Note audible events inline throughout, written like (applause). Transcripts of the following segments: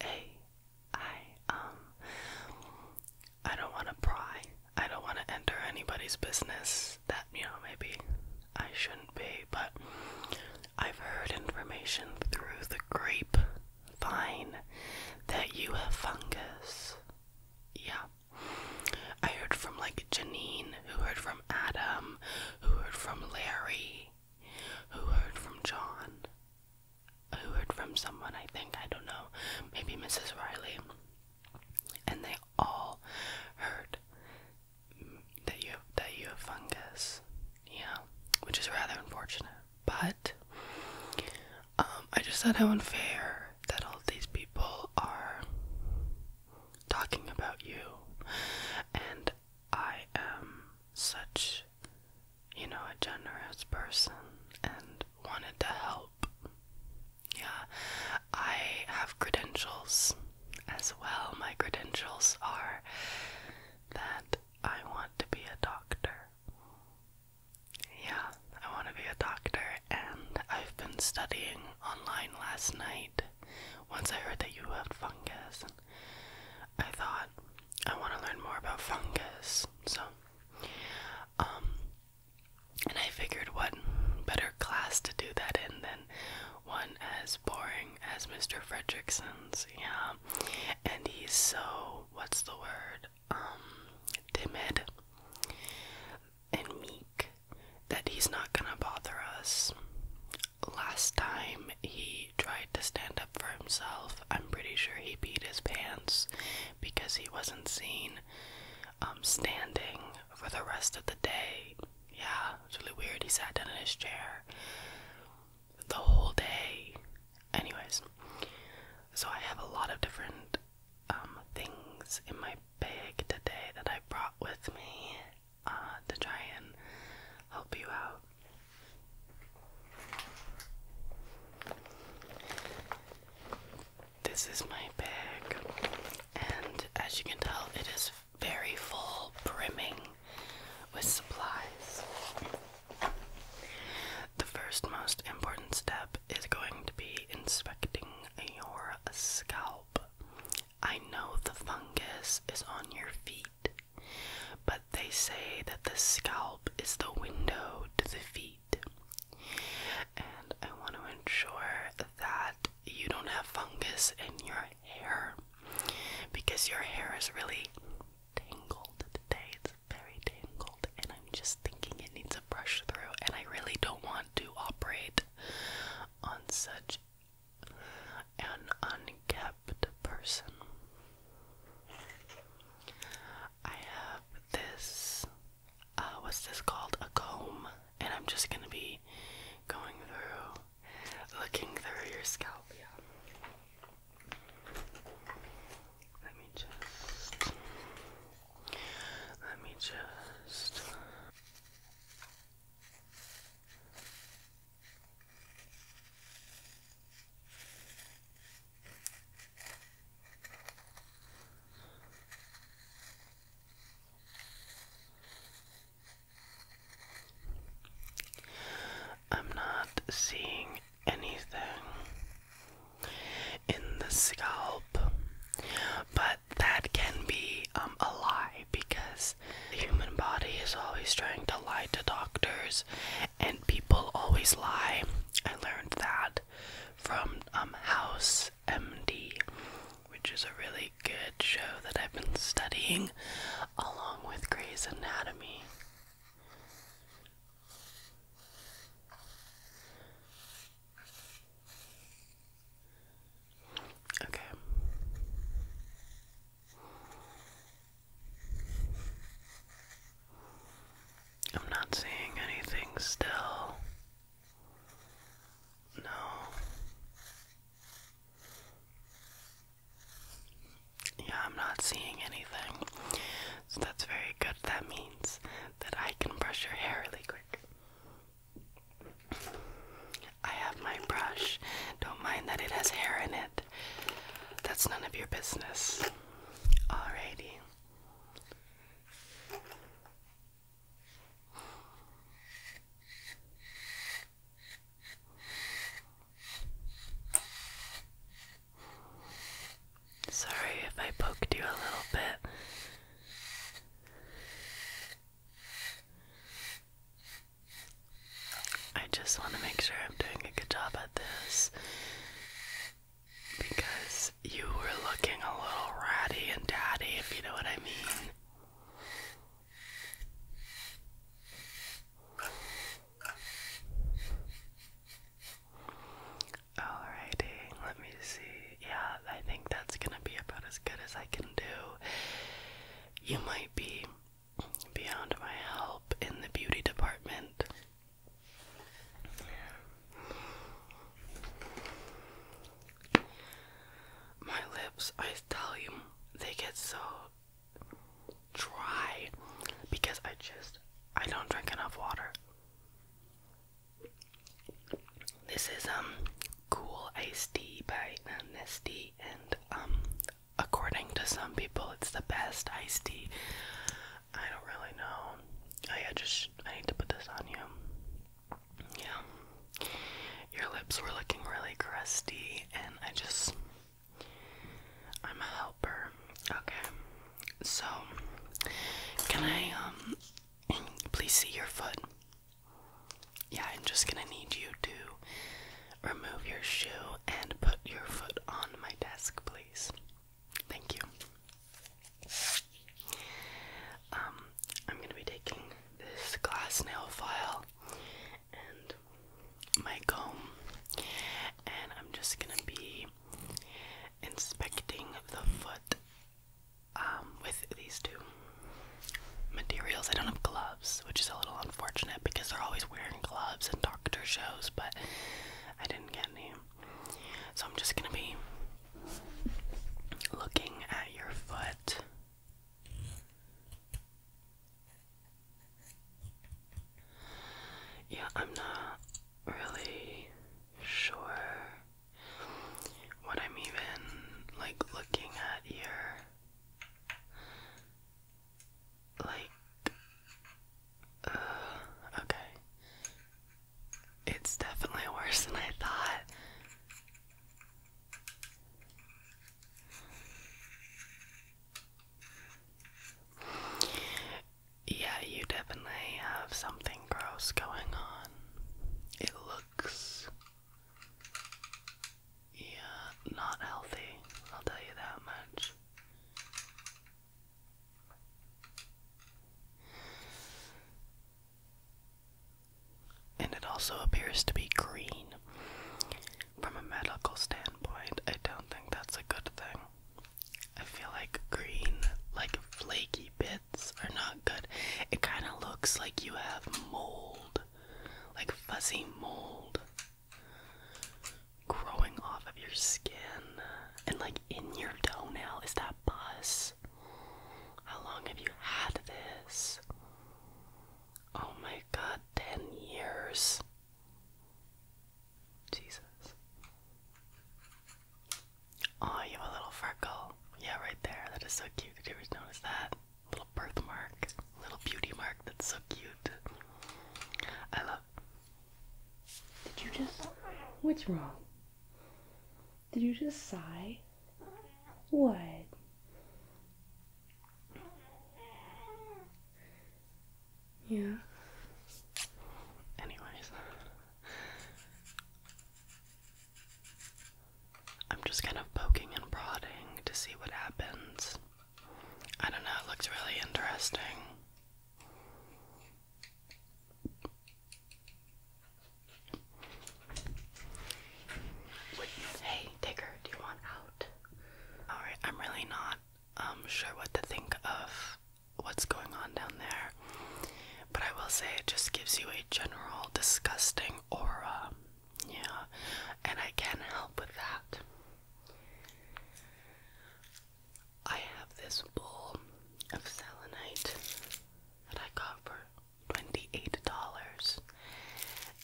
Hey, I, um, I don't want to pry. I don't want to enter anybody's business that, you know, maybe I shouldn't be, but I've heard information through the grapevine that you have fungus. Yeah. I heard from like Janine, who heard from Adam, who heard from Larry, who heard from John? Who heard from someone, I think, I don't know, maybe Mrs. Riley. And they all heard that you that you have fungus. Yeah, which is rather unfortunate. But um, I just thought how unfair that all these people are talking about you and I am such, you know, a generous person and wanted to help. Yeah, I have credentials as well. My credentials are that I want to be a doctor. Yeah, I want to be a doctor, and I've been studying online last night once I heard that you had fungus. I thought I want to learn more about fungus. So, um, and I figured what better class to do that in than one as boring as Mr. Fredrickson's. Yeah. And he's so, what's the word? Um, timid and meek that he's not gonna bother us last time he tried to stand up for himself, I'm pretty sure he beat his pants because he wasn't seen um, standing for the rest of the day. Yeah, it's really weird. He sat down in his chair the whole day. Anyways, so I have a lot of different um, things in my bag today that I brought with me uh, to try and help you out. This is my bag, and as you can tell, it is very full, brimming with supplies. The first most important step is going to be inspecting your scalp. I know the fungus is on your feet, but they say that the scalp is the window to the feet. And I want to ensure that you don't have fungus in your hair because your hair is really tangled today. It's very tangled, and I'm just thinking it needs a brush through. And I really don't want to operate on such an unkept person. I have this, uh, what's this called? A comb. And I'm just gonna be going through, looking through your scalp, yeah. Let me just, let me just. I'm not seeing anything in the scalp, but that can be um, a lie because the human body is always trying to lie to doctors and people always lie. I learned that from um, House MD, which is a really good show that I've been studying along with Grey's Anatomy. Okay. I'm not seeing anything still. No. Yeah, I'm not seeing anything. So that's very good. That means that I can brush your hair really quick. I have my brush. Don't mind that it has hair in it. That's none of your business. Alrighty. Sorry if I poked you a little bit. I just want to make sure I'm doing a good job at this because you were looking a little ratty and tatty, if you know what I mean. Alrighty, let me see. Yeah, I think that's gonna be about as good as I can do. You might be beyond my help in the beauty department. My lips, I tell you, they get so dry because I just I don't drink enough water. This is um cool iced tea by um, and um according to some people it's the best iced tea. I don't really know. Oh yeah, just I need to put this on you. Yeah. Your lips were looking really crusty and I just I'm a helper. Okay. So can I um (clears throat) please see your foot? Yeah, I'm just gonna need you to remove your shoe and put your foot on my desk, please. Thank you. Um, I'm gonna be taking this glass nail file and my comb, and I'm just gonna be inspecting the foot um, with these two materials. I don't have gloves, which is a little unfortunate because they're always wearing gloves in doctor shows, but I didn't get any. So I'm just gonna be looking at your foot. Yeah, I'm not really sure what I'm even like looking at here. Like, uh, okay. It's definitely worse than I thought. Yeah, you definitely have something gross going on. It yeah, not healthy, I'll tell you that much. And it also appears to be green. From a medical standpoint, I don't think that's a good thing. I feel like green, like flaky bits are not good. It kind of looks like you have mold, like fuzzy mold growing off of your skin and like in your toenail. Is that pus? How long have you had this? Oh my god, 10 years. Jesus. Oh, you have a little freckle. Yeah, right there. That is so cute. Did you ever notice that? Little birthmark, little beauty mark. That's so cute. I love. Did you just? What's wrong? Did you just sigh? What? Yeah. Anyways. I'm just kind of poking and prodding to see what happens. I don't know, it looks really interesting. Wait, hey, Digger, do you want out? Alright, I'm really not um, sure what to think of what's going on down there. But I will say it just gives you a general disgusting aura. Yeah, and I can help with that. I have this bowl of selenite that I got for $28.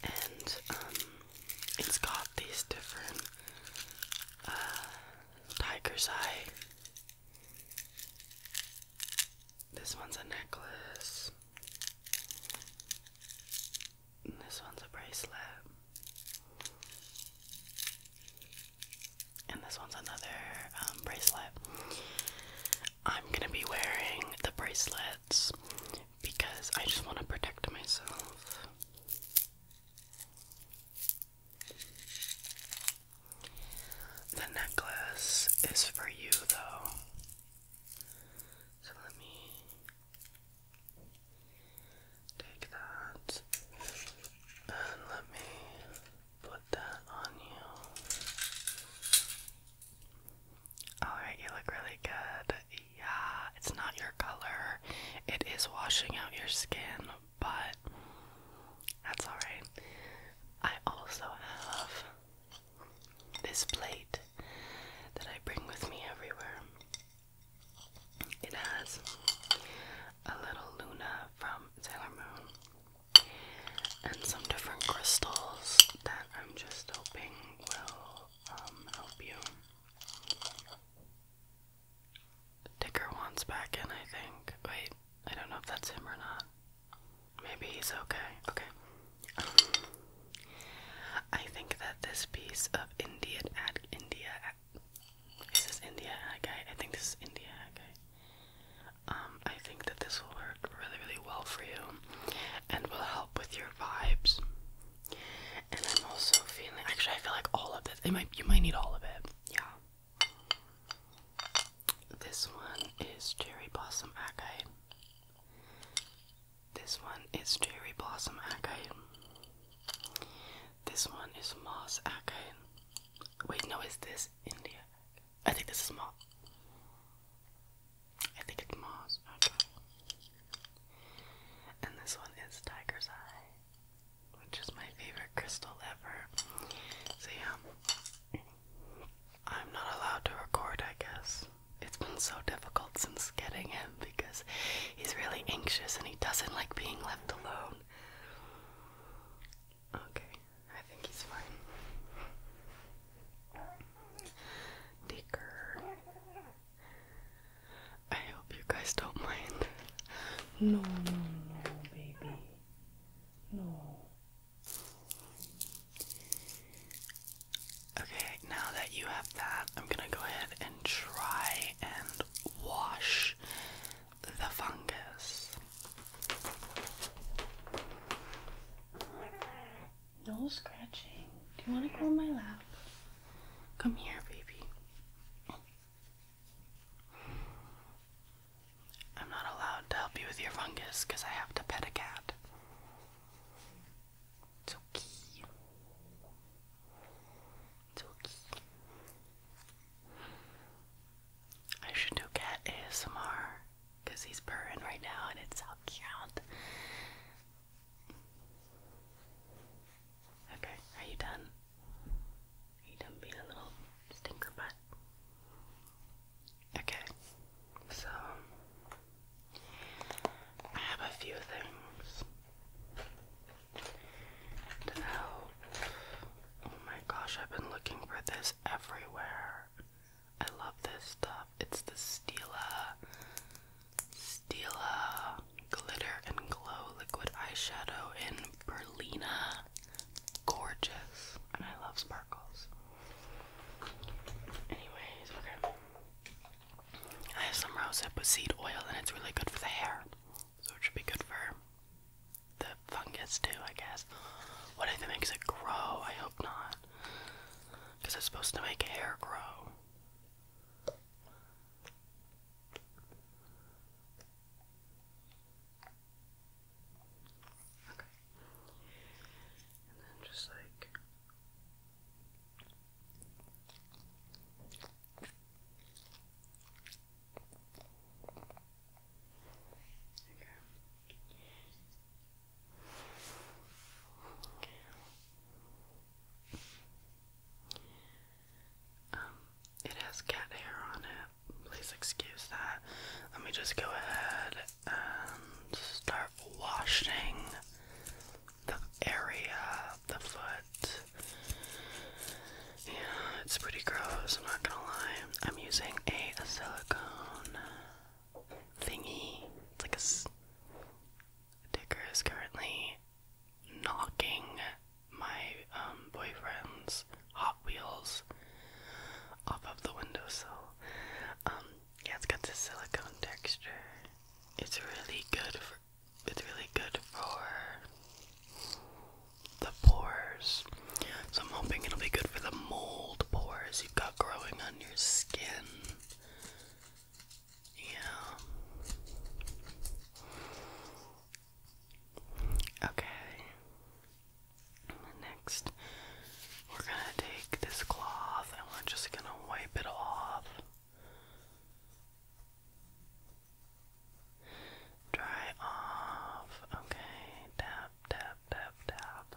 And um, it's got these different uh, tiger's eye this one's a necklace. And this one's a bracelet. And this one's another um, bracelet. I'm gonna be wearing the bracelets because I just want to protect myself. The necklace is for you, though. So let me take that and let me put that on you. Alright, you look really good. Yeah, it's not your color, it is washing out your skin, but that's alright. I also have this plate that I bring with me everywhere. It has a little Luna from Sailor Moon and some different crystals that I'm just hoping will um, help you. Dicker wants back in, I think. Wait, I don't know if that's him or not. Maybe he's okay. Okay. I think that this piece of India ad India is this India Okay. I think this is India Okay. Um, I think that this will work really, really well for you and will help with your vibes. And I'm also feeling actually I feel like all of this. It might you might need all of it. Yeah. This one is Cherry Blossom Acai. This one is Cherry Blossom Acai. This one is Moss Acai. Wait, no, is this India? I think this is Moss. I think it's Moss. Okay. And this one is Tiger's Eye which is my favorite crystal ever. So yeah, I'm not allowed to record, I guess. It's been so difficult since getting him because he's really anxious and he doesn't like being left alone. Okay, I think he's fine. Dicker. I hope you guys don't mind. No, no, no, baby. No. Okay, now that you have that, I'm gonna go ahead and try and wash the fungus. No scratching. Do you want to go on my lap? Come here, baby. I'm not allowed to help you with your fungus because I have to pet a cat. It's okay. It's okay. I should do cat ASMR because he's purring right now and it's so cute. Okay, are you done? you done being a little stinker butt? Okay, so I have a few things to help. Oh my gosh, I've been looking for this everywhere. I love this stuff. It's the Stila Stila Glitter and Glow Liquid Eyeshadow in Berlina gorgeous, and I love sparkles. Anyways, okay. I have some rosehip with seed oil, and it's really good for the hair, so it should be good for the fungus too, I guess. What if it makes it grow? I hope not, because it's supposed to make hair grow. Okay. And then just like Okay. Um, it has cat hair on it. Please excuse that. Let me just go ahead and start washing the area, the foot. Yeah, it's pretty gross, I'm not gonna lie. I'm using a, silicone thingy. It's like a, a is currently knocking my um, boyfriend's Hot Wheels off of the windowsill. Um, yeah, it's got the silicone texture. It's really good for it's really good for the pores. So I'm hoping it'll be good for the mold pores you've got growing on your skin. Yeah. Okay. Next, we're gonna take this cloth and we're just gonna wipe it off. Dry off. Okay. Tap, tap, tap, tap.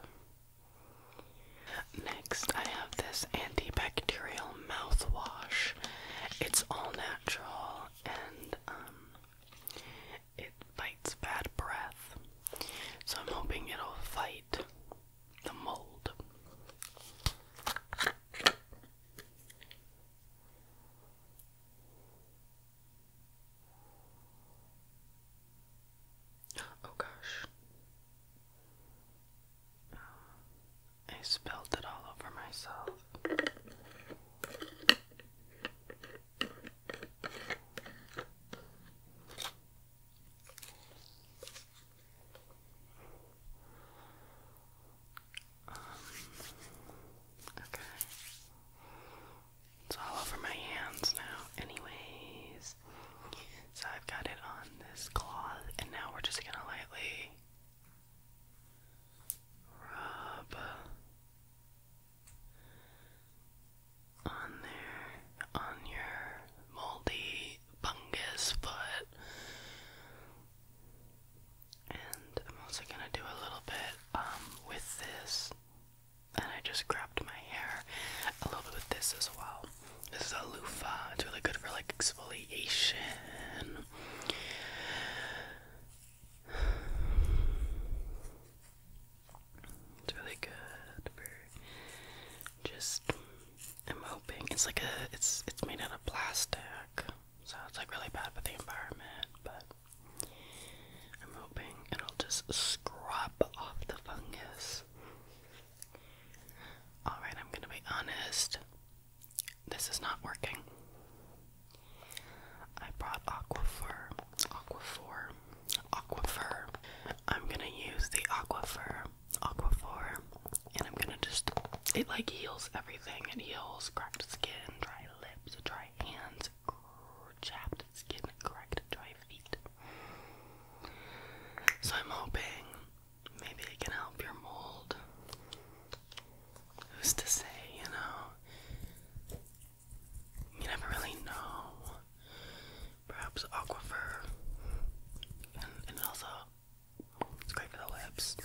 Next, I have this antibacterial mouthwash. It's all natural and um, it fights bad breath. So I'm hoping it'll fight the mold. Oh gosh. I spilled it all over myself. Um, okay. It's all over my hands now, anyways. So I've got it on this cloth, and now we're just gonna lightly rub on there, on your moldy fungus foot. And I'm also gonna do a little bit um, with this. And I just grabbed my hair a little bit with this as well. This is a loofah. It's really good for like exfoliation it's really good for just I'm hoping it's like a it's it's made out of plastic. So it's like really bad for the environment, but I'm hoping it'll just scrub off the fungus. Alright, I'm gonna be honest. This is not working. I brought Aquifer, Aquifer, Aquifer. I'm gonna use the Aquifer, Aquifer, and I'm gonna just, it like heals everything. It heals cracked skin, dry lips, dry hands, chapped skin, cracked dry feet. So I'm hoping Maybe it can help your mold. Who's to say, you know? You never really know. Perhaps aquifer. And, also, it's great for the lips.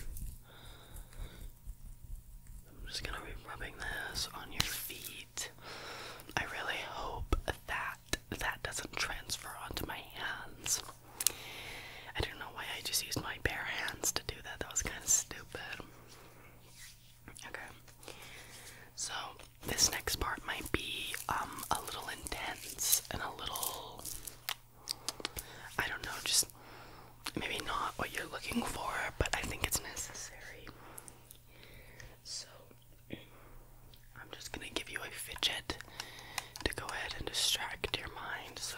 I'm just gonna be rubbing this on your feet. I really hope that that doesn't transfer onto my hands. I don't know why I just used my bare hands to do that. That was kind of stupid. Okay. So, this next part might be um, a little intense and a little I don't know, just maybe not what you're looking for, but I think it's necessary. So, I'm just going to give you a fidget to go ahead and distract your mind. So,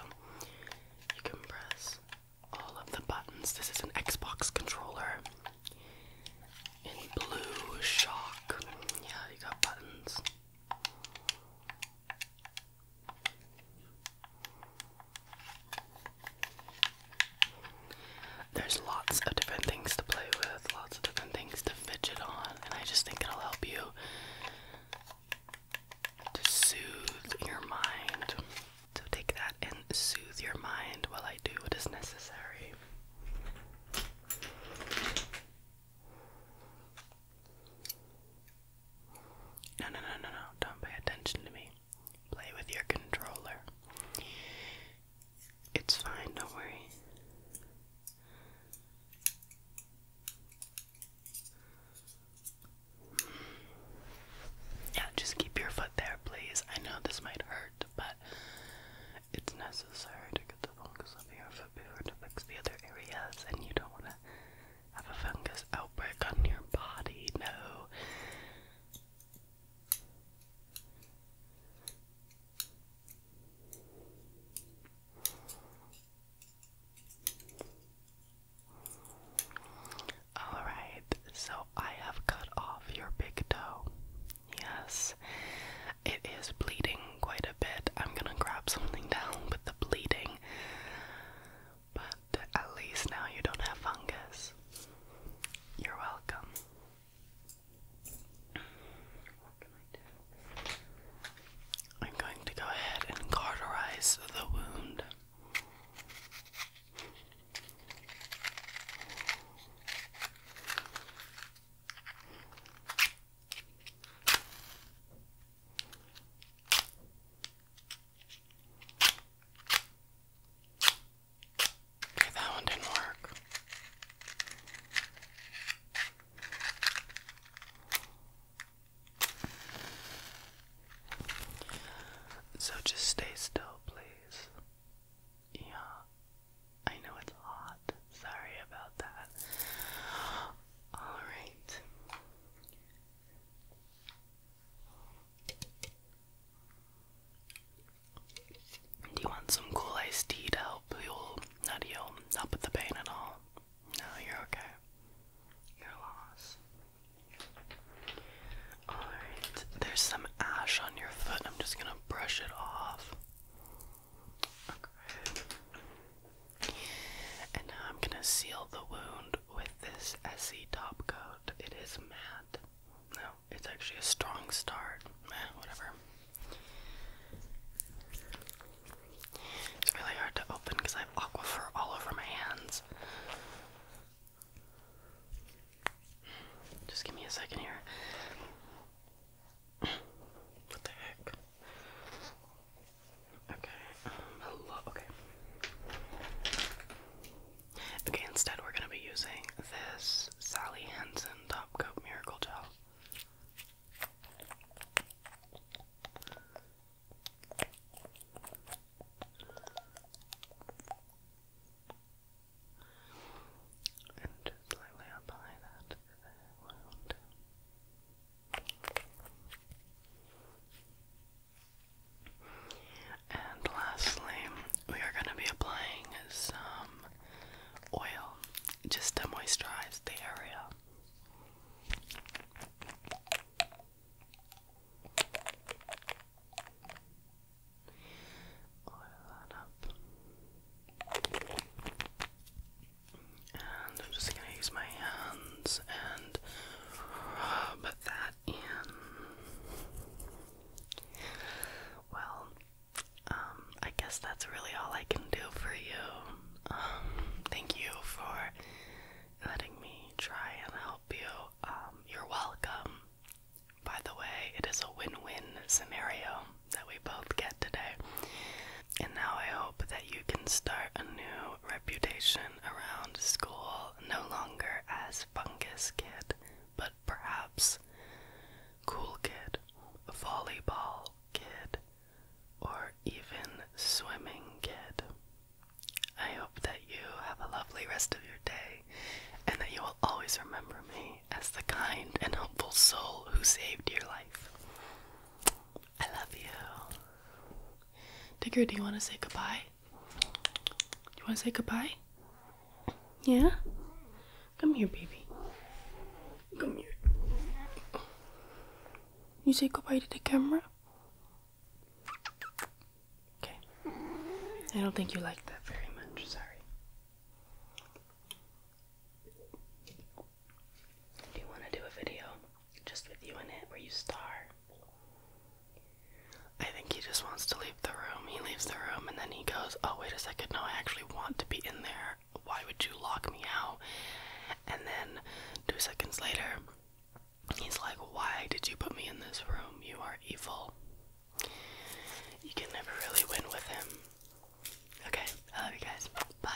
you can press all of the buttons. This is an Xbox controller in blue shock. Yeah, you got buttons. There's lots of different things to play with, lots of different things to fidget on, and I just think it'll help you to soothe your mind. So take that and soothe your mind while I do what is necessary. No, no, no, no, no. Don't pay attention to me. Play with your controller. It's fine, don't worry. Yeah, just keep your foot there, please. I know this might hurt, but it's necessary to get the fungus off your foot before to fix the other areas, and you don't want to have a fungus outbreak on your body. No. Alright, so I have cut off your big toe. Yes, it is bleeding quite a bit. I'm gonna grab something down with the bleeding. But at least now you don't have fungus. You're welcome. I'm going to go ahead and cauterize the wound. Okay, that one didn't work. So just stay still, please. Yeah, I know it's hot. Sorry about that. Alright. Do you want some cool iced tea to help heal, not heal, the pain at all? No, you're okay. You're Alright, there's some ash on your foot. I'm just gonna brush it off. Okay. And now I'm gonna seal the wound with this SE top coat. It is matte. No, it's actually a strong start. whatever. It's really hard to open because I have aquifer all over my hands. Just give me a second here. What the heck? Okay. Um, hello. Okay. Okay. Instead, we're gonna be using this Sally Hansen Top Coat Miracle Gel. And just lightly apply that And lastly, we are going to be applying some oil just to moisturize the area. Oil that up. And I'm just going to use my hands and rub that in. Well, um, I guess that's really all I can do for you. Um, thank you for letting me try and help you. Um, you're welcome. By the way, it is a win-win scenario that we both get today. And now I hope that you can start a new reputation around school, no longer as Fungus Kid, but perhaps Cool Kid, Volleyball Kid, or even swimming kid. I hope that you have a lovely rest of your day and that you will always remember me as the kind and helpful soul who saved your life. I love you. Digger, do you want to say goodbye? Do you want to say goodbye? Yeah? Come here, baby. Come here. You say goodbye to the camera? Okay. I don't think you like that very much. Sorry. Do you want to do a video just with you in it where you star? I think he just wants to leave the room. He leaves the room and then he goes, Oh, wait a second. No, I actually want to be in there. Why would you lock me out? And then two seconds later, he's like, Why did you put me in this room? You are evil. You can never really win with him. Okay, I love you guys. Bye.